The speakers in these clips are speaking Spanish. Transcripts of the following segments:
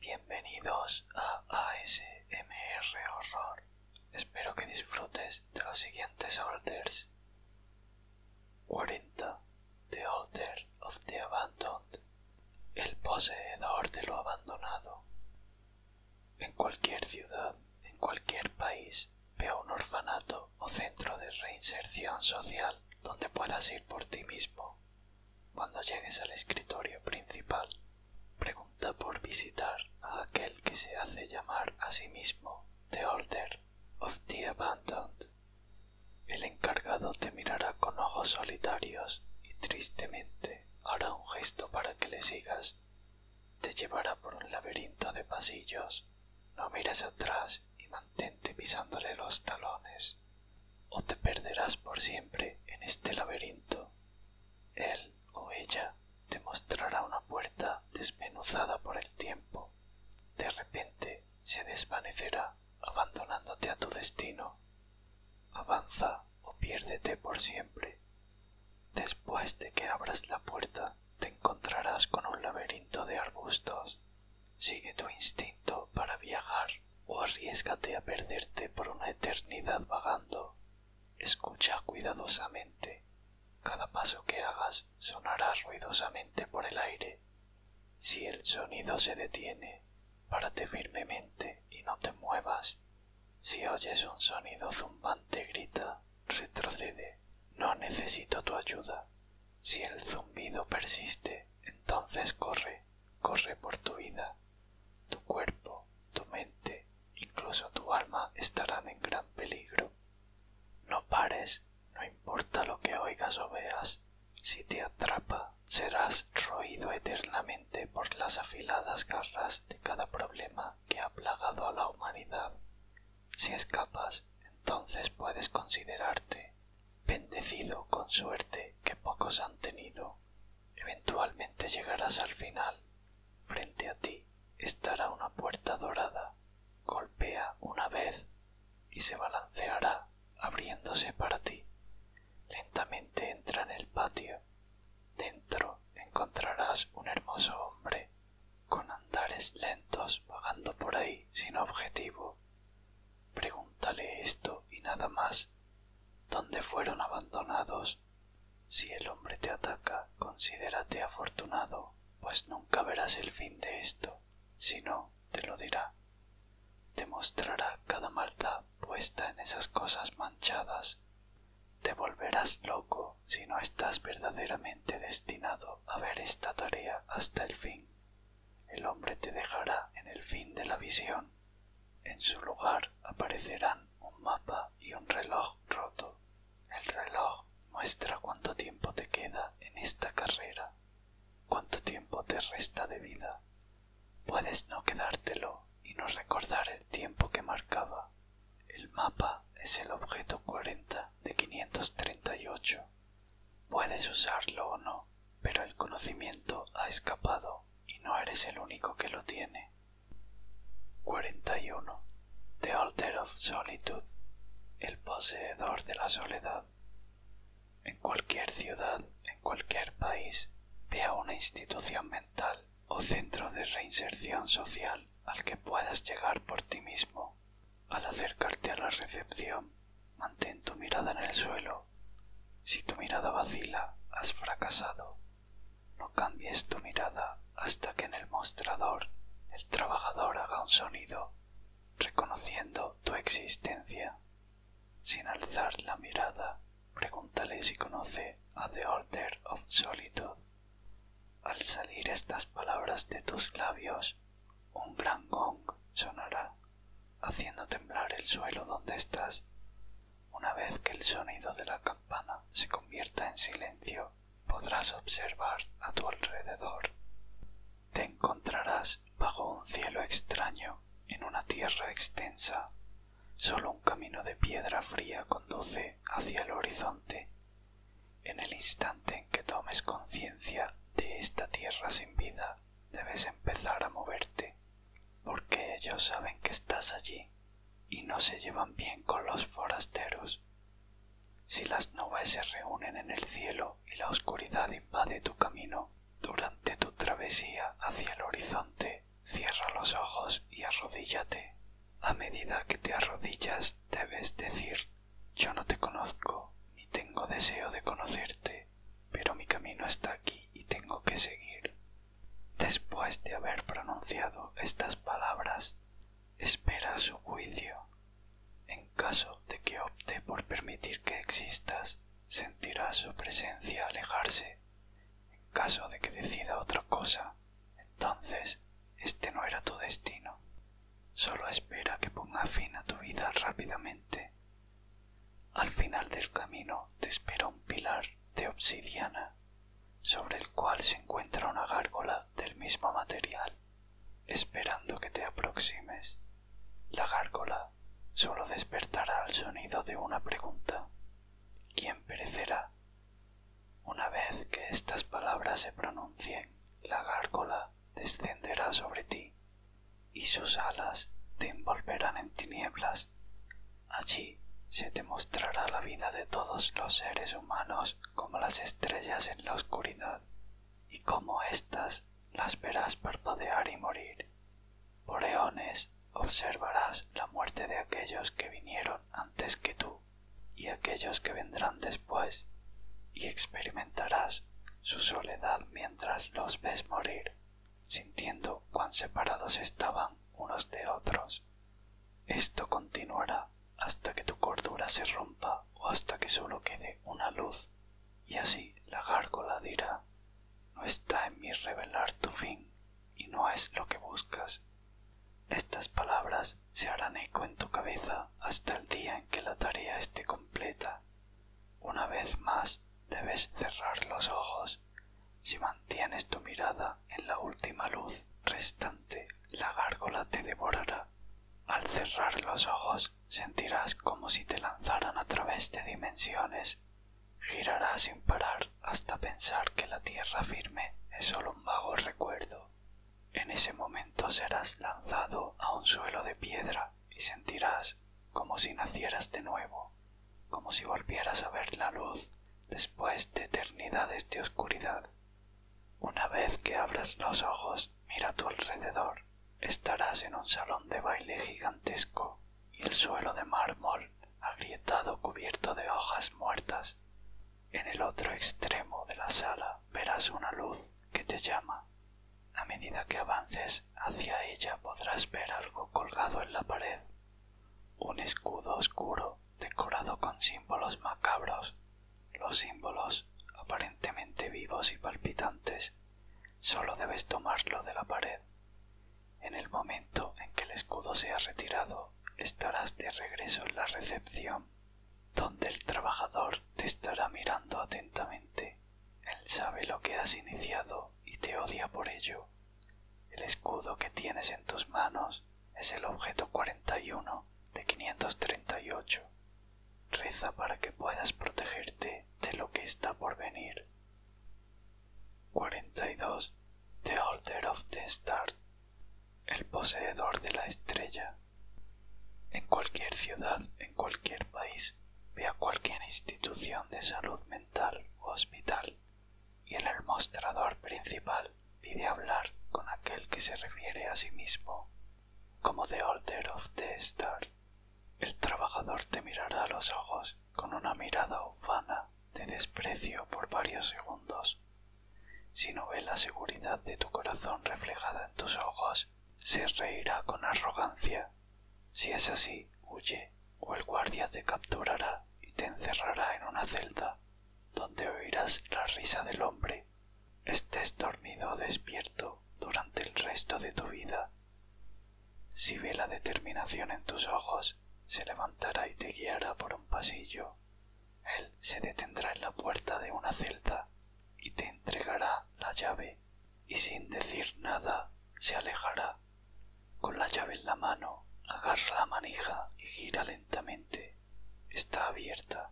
Bienvenidos a ASMR Horror. Espero que disfrutes de los siguientes orders. 40. The Order of the Abandoned. El poseedor de lo abandonado. En cualquier ciudad, en cualquier país, veo un orfanato o centro de reinserción social donde puedas ir por ti mismo. Cuando llegues al escritorio principal, pregunta por visitar a aquel que se hace llamar a sí mismo The Order of the Abandoned. El encargado te mirará con ojos solitarios y tristemente hará un gesto para que le sigas te llevará por un laberinto de pasillos. No mires atrás y mantente pisándole los talones, o te perderás por siempre en este laberinto. Él o ella te mostrará una puerta desmenuzada por el tiempo. De repente se desvanecerá, abandonándote a tu destino. Avanza o piérdete por siempre. Después de que abras la puerta, te encontrarás con un laberinto de arbustos. Sigue tu instinto para viajar o arriesgate a perderte por una eternidad vagando. Escucha cuidadosamente. Cada paso que hagas sonará ruidosamente por el aire. Si el sonido se detiene, párate firmemente y no te muevas. Si oyes un sonido zumbante, grita, retrocede, no necesito tu ayuda. Si el zumbido persiste, entonces corre, corre por tu vida. Tu cuerpo, tu mente, incluso tu alma estarán en gran peligro. No pares, no importa lo que oigas o veas. Si te atrapa, serás roído eternamente por las afiladas garras de cada problema que ha plagado a la humanidad. Si escapas, entonces puedes considerarte bendecido con suerte que pocos han tenido. Eventualmente llegarás al final. Frente a ti estará una puerta dorada. Golpea una vez y se balanceará abriéndose para ti. Lentamente entra en el patio Dentro encontrarás un hermoso hombre con andares lentos vagando por ahí sin objetivo. Pregúntale esto y nada más. ¿Dónde fueron abandonados? Si el hombre te ataca, considérate afortunado, pues nunca verás el fin de esto. Si no, te lo dirá. Te mostrará cada maldad puesta en esas cosas manchadas. Te volverás loco si no estás verdaderamente destinado a ver esta tarea hasta el fin. El hombre te dejará en el fin de la visión. En su lugar aparecerán un mapa y un reloj roto. El reloj muestra cuánto tiempo te queda en esta carrera, cuánto tiempo te resta de vida. Puedes no quedártelo y no recordar el tiempo que marcaba el mapa es el objeto 40 de 538. Puedes usarlo o no, pero el conocimiento ha escapado y no eres el único que lo tiene. 41. The Alter of Solitude. El poseedor de la soledad. En cualquier ciudad, en cualquier país, vea una institución mental o centro de reinserción social al que puedas llegar por ti mismo. Al acercarte a la recepción, mantén tu mirada en el suelo. Si tu mirada vacila, has fracasado. No cambies tu mirada hasta que en el mostrador el trabajador haga un sonido, reconociendo tu existencia. Sin alzar la mirada, Pregúntale si conoce a The Order of Solitude. Al salir estas palabras de tus labios, un gran gong sonará, haciendo temblar el suelo donde estás. Una vez que el sonido de la campana se convierta en silencio, podrás observar a tu alrededor. Te encontrarás bajo un cielo extraño en una tierra extensa Solo un camino de piedra fría conduce hacia el horizonte. En el instante en que tomes conciencia de esta tierra sin vida, debes empezar a moverte, porque ellos saben que estás allí y no se llevan bien con los forasteros. Si las nubes se reúnen en el cielo y la oscuridad invade tu camino, durante tu travesía hacia el horizonte, cierra los ojos y arrodíllate. A medida que te arrodillas debes decir, yo no te conozco, ni tengo deseo de conocerte, pero mi camino está aquí y tengo que seguir. Después de haber pronunciado estas palabras, espera su juicio. En caso de que opte por permitir que existas, sentirás su presencia alejarse en caso de que decida otra cosa, entonces este no era tu destino. Solo espera que ponga fin a tu vida rápidamente. Al final del camino te espera un pilar de obsidiana, sobre el cual se encuentra una gárgola del mismo material, esperando que te aproximes. La gárgola sólo despertará al sonido de una pregunta. ¿Quién perecerá? Una vez que estas palabras se pronuncien, la gárgola descenderá sobre ti, y sus alas te envolverán en tinieblas. Allí se te mostrará la vida de todos los seres humanos como las estrellas en la oscuridad, y como éstas las verás parpadear y morir. Oreones, observarás la muerte de aquellos que vinieron antes que tú y aquellos que vendrán después, y experimentarás su soledad mientras los ves morir, sintiendo cuán separados estaban unos de otros. Esto continuará hasta que tu cordura se rompa o hasta que solo quede una luz, y así la gárgola dirá, no está en mí revelar tu fin, y no es lo que buscas. Estas palabras se harán eco en tu cabeza hasta el día en que la tarea esté completa. Una vez más debes cerrar los ojos. Si mantienes tu mirada en la última luz restante, la gárgola te devorará. Al cerrar los ojos sentirás como si te lanzaran a través de dimensiones Girará sin parar hasta pensar que la tierra firme es solo un vago recuerdo. En ese momento serás lanzado a un suelo de piedra y sentirás como si nacieras de nuevo, como si volvieras a ver la luz después de eternidades de oscuridad. Una vez que abras los ojos, mira a tu alrededor. Estarás en un salón de baile gigantesco y el suelo de mármol agrietado cubierto de hojas muertas. En el otro extremo de la sala verás una luz que te llama. A medida que avances hacia ella podrás ver algo colgado en la pared, un escudo oscuro decorado con símbolos macabros. Los símbolos, aparentemente vivos y palpitantes, solo debes tomarlo de la pared en el momento en que el escudo sea retirado, estarás de regreso en la recepción, donde el trabajador te estará mirando atentamente. Él sabe lo que has iniciado y te odia por ello. El escudo que tienes en tus manos es el objeto 41 de 538. Reza para que puedas protegerte de lo que está por venir. The Holder of the Star. El poseedor de la estrella. En cualquier ciudad, en cualquier país, vea a cualquier institución de salud mental o hospital y el mostrador principal pide hablar con aquel que se refiere a sí mismo como The holder of the Star. El trabajador te mirará a los ojos con una mirada ufana de desprecio por varios segundos. Si no ve la seguridad de tu corazón reflejada en tus ojos, se reirá con arrogancia. Si es así, huye, o el guardia te capturará y te encerrará en una celda, donde oirás la risa del hombre. Estés dormido o despierto durante el resto de tu vida, si ve la determinación en tus ojos, se levantará y te guiará por un pasillo. Él se detendrá en la puerta de una celda y te entregará la llave, y sin decir nada se alejará. Con la llave en la mano, agarra la manija y gira lentamente. Está abierta.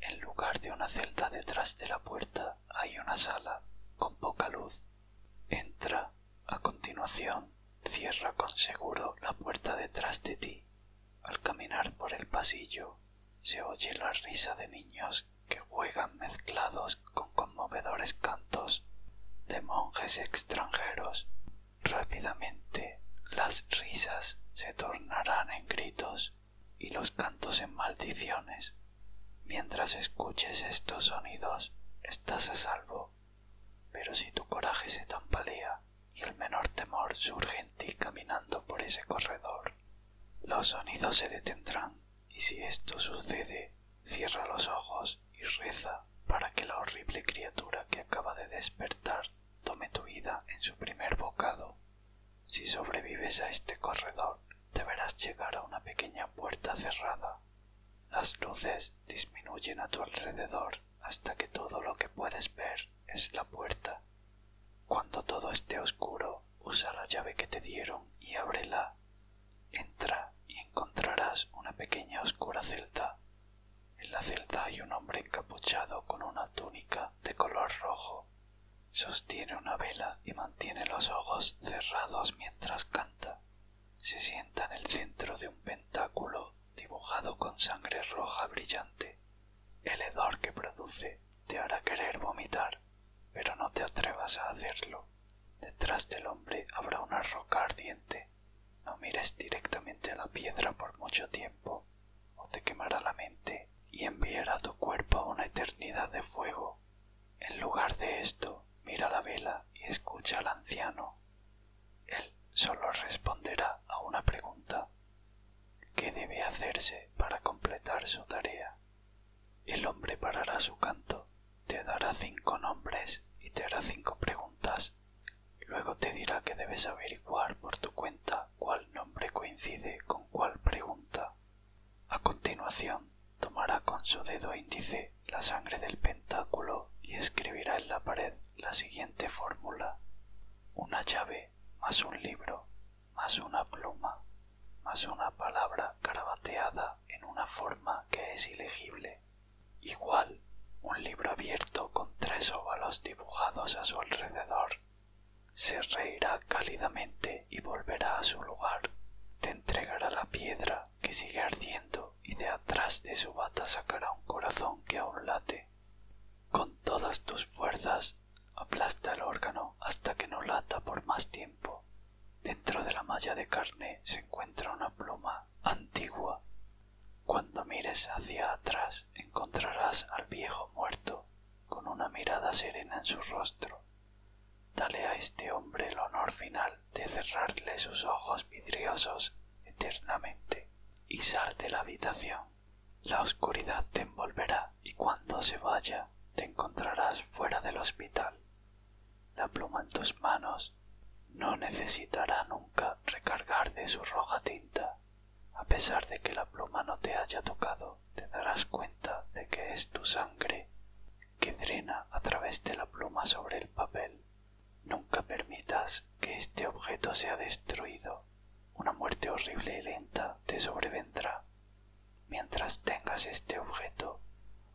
En lugar de una celda detrás de la puerta hay una sala con poca luz Entra. A continuación, cierra con seguro la puerta detrás de ti. Al caminar por el pasillo, se oye la risa de niños que juegan mezclados con conmovedores cantos de monjes extranjeros. Rápidamente las risas se tornarán en gritos y los cantos en maldiciones. Mientras escuches estos sonidos, estás a salvo. Pero si tu coraje se tambalea y el menor temor surge en ti caminando por ese corredor, los sonidos se detendrán y si esto sucede, cierra los ojos y reza para que la horrible criatura que acaba de despertar tome tu vida en su primer bocado. Si sobrevives a este corredor, deberás llegar a una pequeña puerta cerrada. Las luces disminuyen a tu alrededor hasta que todo lo que puedes ver es la puerta. Cuando todo esté oscuro, usa la llave que te dieron y ábrela. Entra y encontrarás una pequeña oscura celda. En la celda hay un hombre encapuchado con una túnica de color rojo Sostiene una vela y mantiene los ojos cerrados mientras canta. Se sienta en el centro de un pentáculo dibujado con sangre roja brillante. El hedor que produce te hará querer vomitar, pero no te atrevas a hacerlo. Detrás del hombre habrá una roca ardiente. No mires directamente a la piedra por mucho tiempo, o te quemará la mente y enviará tu cuerpo a una eternidad de fuego. En lugar de esto, mira la vela y escucha al anciano. Él solo responderá a una pregunta. ¿Qué debe hacerse para completar su tarea? El hombre parará su canto, te dará cinco nombres y te hará cinco preguntas. Luego te dirá que debes averiguar por tu cuenta cuál nombre coincide con cuál pregunta a continuación, tomará con su dedo índice la sangre del pentáculo y escribirá en la pared la siguiente fórmula. Una llave más un libro más una pluma más una palabra carabateada en una forma que es ilegible. Igual un libro abierto con tres óvalos dibujados a su alrededor se reirá cálidamente y volverá a su lugar, te entregará la piedra que sigue ardiendo y de atrás de su bata sacará un corazón que aún late. Con todas tus fuerzas aplasta el órgano hasta que no lata por más tiempo. Dentro de la malla de carne se encuentra una pluma antigua. Cuando mires hacia atrás encontrarás al viejo muerto con una mirada serena en su rostro Dale a este hombre el honor final de cerrarle sus ojos vidriosos eternamente y sal de la habitación. La oscuridad te envolverá y cuando se vaya te encontrarás fuera del hospital. La pluma en tus manos no necesitará nunca recargar de su roja tinta, a pesar de que la pluma no te haya tocado te darás cuenta de que es tu sangre que drena a través de la pluma sobre el papel. Nunca permitas que este objeto sea destruido. Una muerte horrible y lenta te sobrevendrá. Mientras tengas este objeto,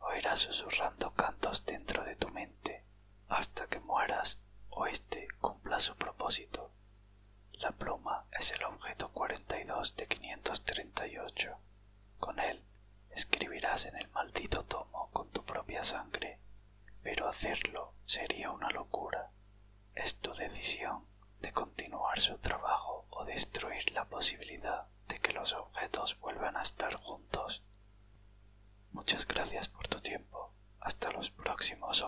oirás susurrando cantos dentro de tu mente hasta que mueras o éste cumpla su propósito. La pluma es el objeto 42 de 538. Con él escribirás en el maldito tomo con tu propia sangre, pero hacerlo sería una locura. Es tu decisión de continuar su trabajo o destruir la posibilidad de que los objetos vuelvan a estar juntos. Muchas gracias por tu tiempo. Hasta los próximos